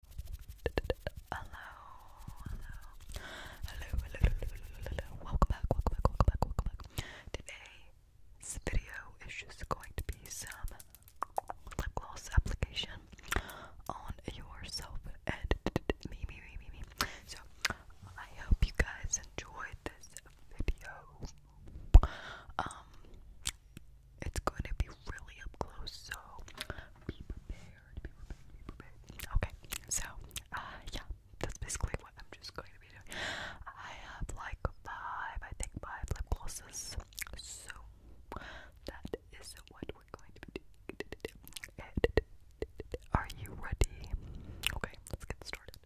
Hello, hello, hello, hello, hello, welcome back, welcome back, welcome back, welcome back. Today's video is just going to be some lip gloss application on yourself and me, me, me, me, me. So, I hope you guys enjoyed this video. Um, it's going to be really up close, so be prepared, be prepared, Okay, so, uh, yeah, that's basically what I'm just going to be doing. I have like five, I think five lip glosses, so that is what we're going to be doing. Are you ready? Okay, let's get started.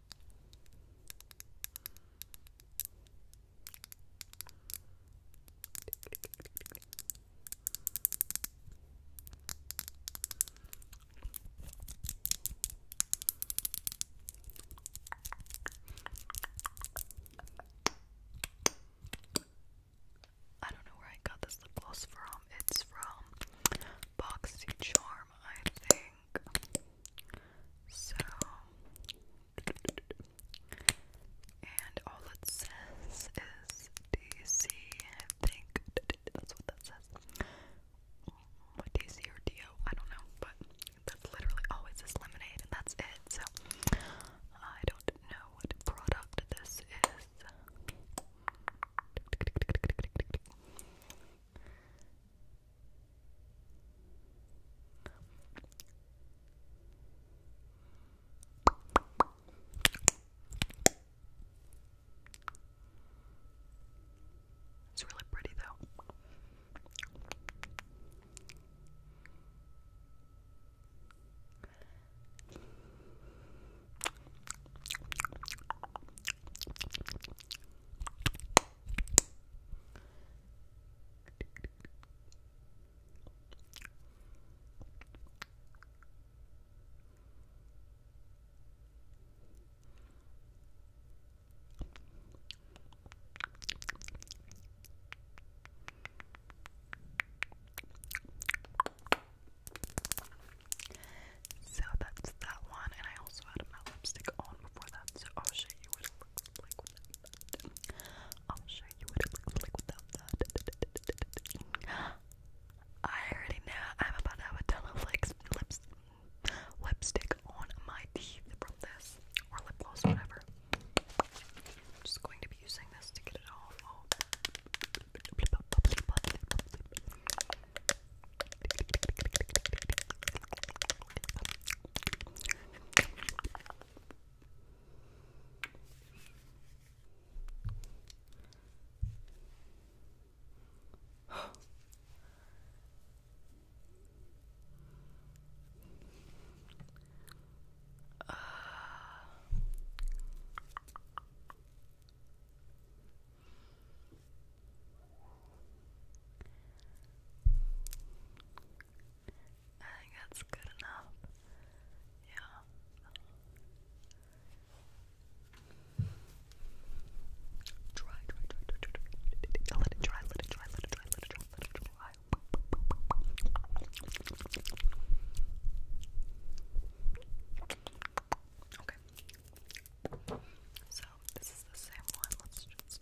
I don't know where I got this lip gloss from. It's from Boxy I think. So and all it says is DC, I think. That's what that says. What DC or DO? I don't know, but that's literally always this lemonade, and that's it. So I don't know what product this is. It's really pretty though. So that's that one, and I also had my lipstick on before that, so I'll show you what it looks like I'll show you what it looks like without that. I already know I'm about to have a ton of like lips, lipstick on my teeth from this, or lip gloss, whatever. just going to be using this to get it off uh. I think that's good enough. Yeah. Dry, dry, dry, dry, dry, dry. Let it dry, let it dry, let it dry, let it dry, let it dry. Okay. So this is the same one. Let's just.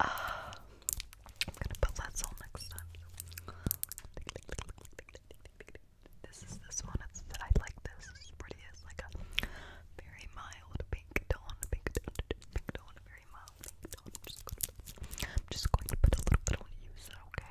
Uh, I'm gonna put Letsol next time. This is this one. I like this. pretty. It's like a very mild pink tone. Pink tone. Pink pink tone. I'm just gonna. I'm just going to put a little bit on you. okay?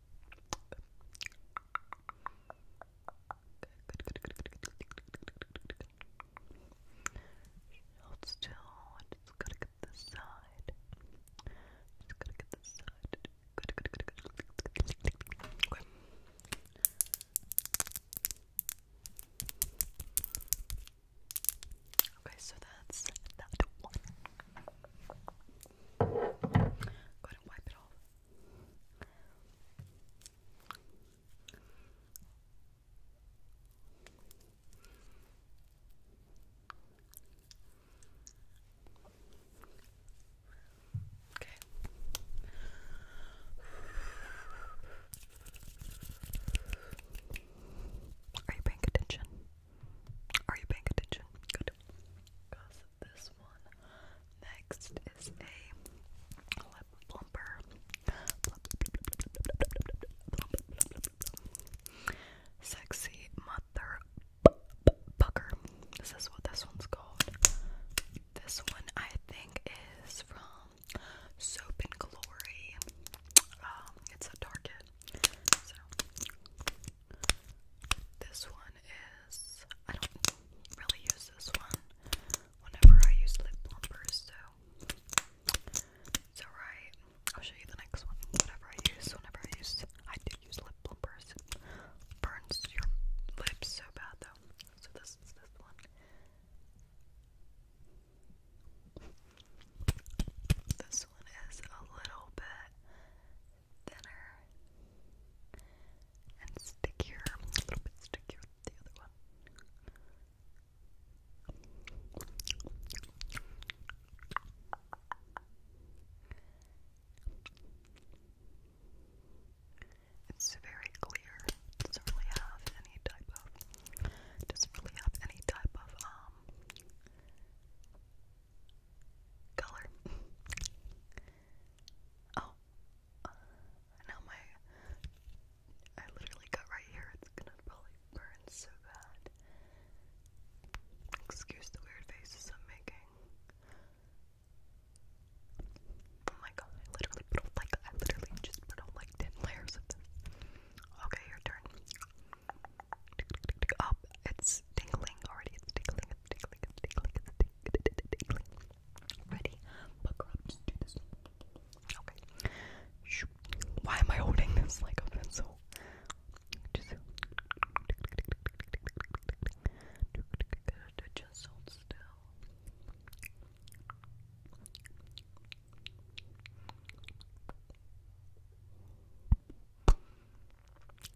Good, good, good, good, good, good, good. Hold still. I just gotta get this side. Just gotta get this side. Good, good, good, good. Okay. Okay, so that's that one. Go ahead and wipe it off. Okay. Are you paying attention? Are you paying attention? Good. Because this one next is a lip plumper. Sexy mother This is what this one's called. This one I think is from Soap and Glory. Um, it's a Target. So this one is I don't really use this one whenever I use lip plumpers, so it's alright. I'll show you the next one. Whatever I use, whenever I use I do use lip plumpers. It burns your lips so bad though. So this is this one. This one is a little bit thinner and stickier, a little bit stickier than the other one. It's very clear. doesn't really have any type of doesn't really have any type of um color. oh, uh, now my I literally got right here. It's gonna probably burn so bad. Excuse the weird faces I'm making. Oh my god! I literally put like I literally just put like ten layers Okay, your turn up. It's tingling already. It's tingling. It's tingling. tingling. tingling. tingling. Ready? Okay. Why am I holding this like a just hold still.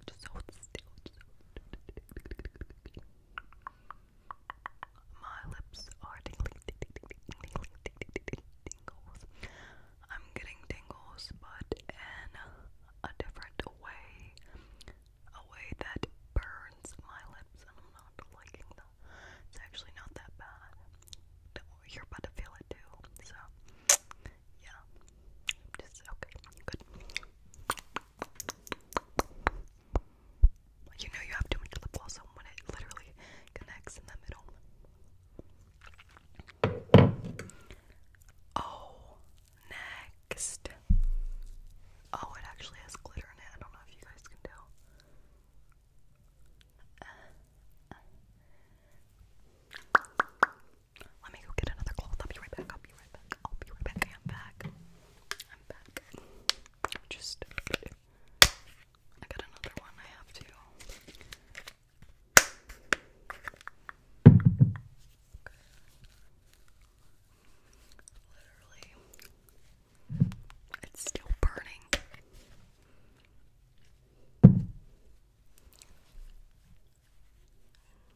Just so still. My lips are tingling, tingling, tingling, tingling, tingles. I'm getting tingles, but in a different way, a way that burns my lips, I'm not liking them. It's actually not that bad. You're about to feel it too, so yeah, okay, good. You know you have too much lip balsam when it literally connects in the middle. Oh, next. Oh, it actually has glitter in it. I don't know if you guys can tell. Uh, uh. Let me go get another cloth. I'll be right back. I'll be right back. I'll be right back. I'm back. I'm back. just. I got another one. I have to. Literally, it's still burning.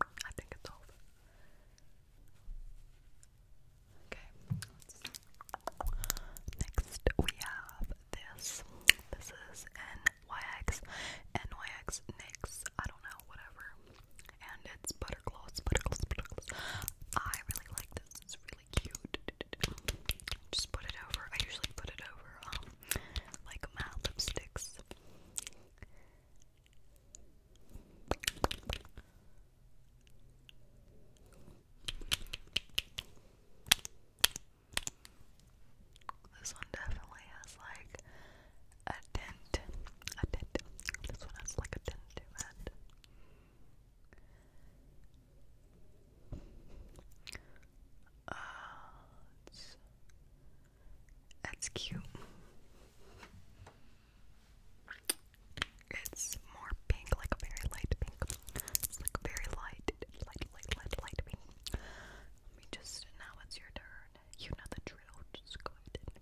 I think it's over. Okay, next we have this. This is NYX. NYX NYX, I don't know, whatever. And it's butter gloss, butter gloss, butter gloss. I really like this, it's really cute. Just put it over. I usually put it over um like matte lipsticks. This one definitely has like a dent. A dent. This one has like a dent to it. Uh, that's cute. It's more pink, like a very light pink. It's like very light, light, light, light, light pink. Let me just, now it's your turn. You know the drill. Just go ahead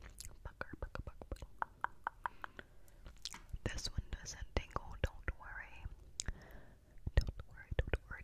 This one doesn't tingle, Don't worry, don't worry, don't worry.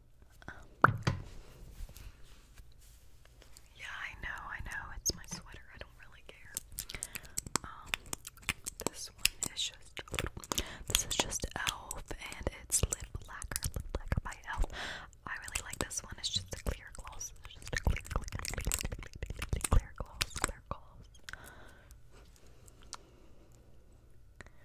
Um, yeah, I know, I know. It's my sweater. I don't really care. Um, this one is just this is just Elf, and it's lip lacquer, lip lacquer by Elf. I really like this one. It's just a clear gloss. It's just a clear, clear, clear, clear, clear, clear gloss, clear gloss.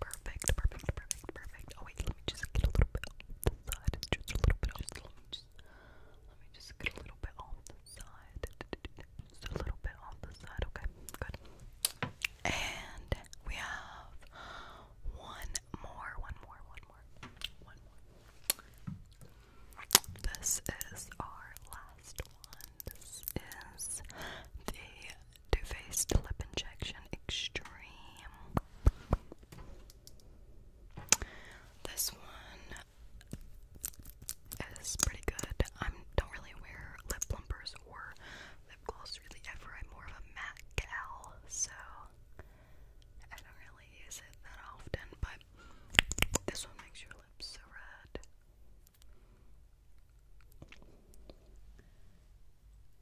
Perfect, perfect, perfect, perfect. Oh wait, let me just get a little bit on the side. Just a little bit on the just, Let me just get a little bit on the side. Just a little bit on the side. Okay, good. And we have one more, one more, one more, one more. This is our last one. This is the too Faced Lip Injection Extreme. This one is pretty good. I don't really wear lip plumpers or lip gloss really ever. I'm more of a matte gal, so I don't really use it that often. But this one makes your lips so red.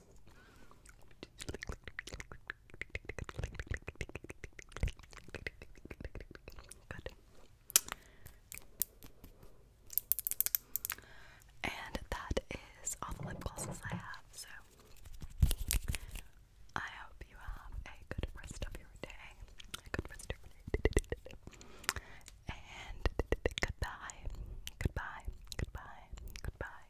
Good. And that is all the lip glosses I have, so I hope you have a good rest of your day. good rest of your day. And goodbye. Goodbye. Goodbye. Goodbye.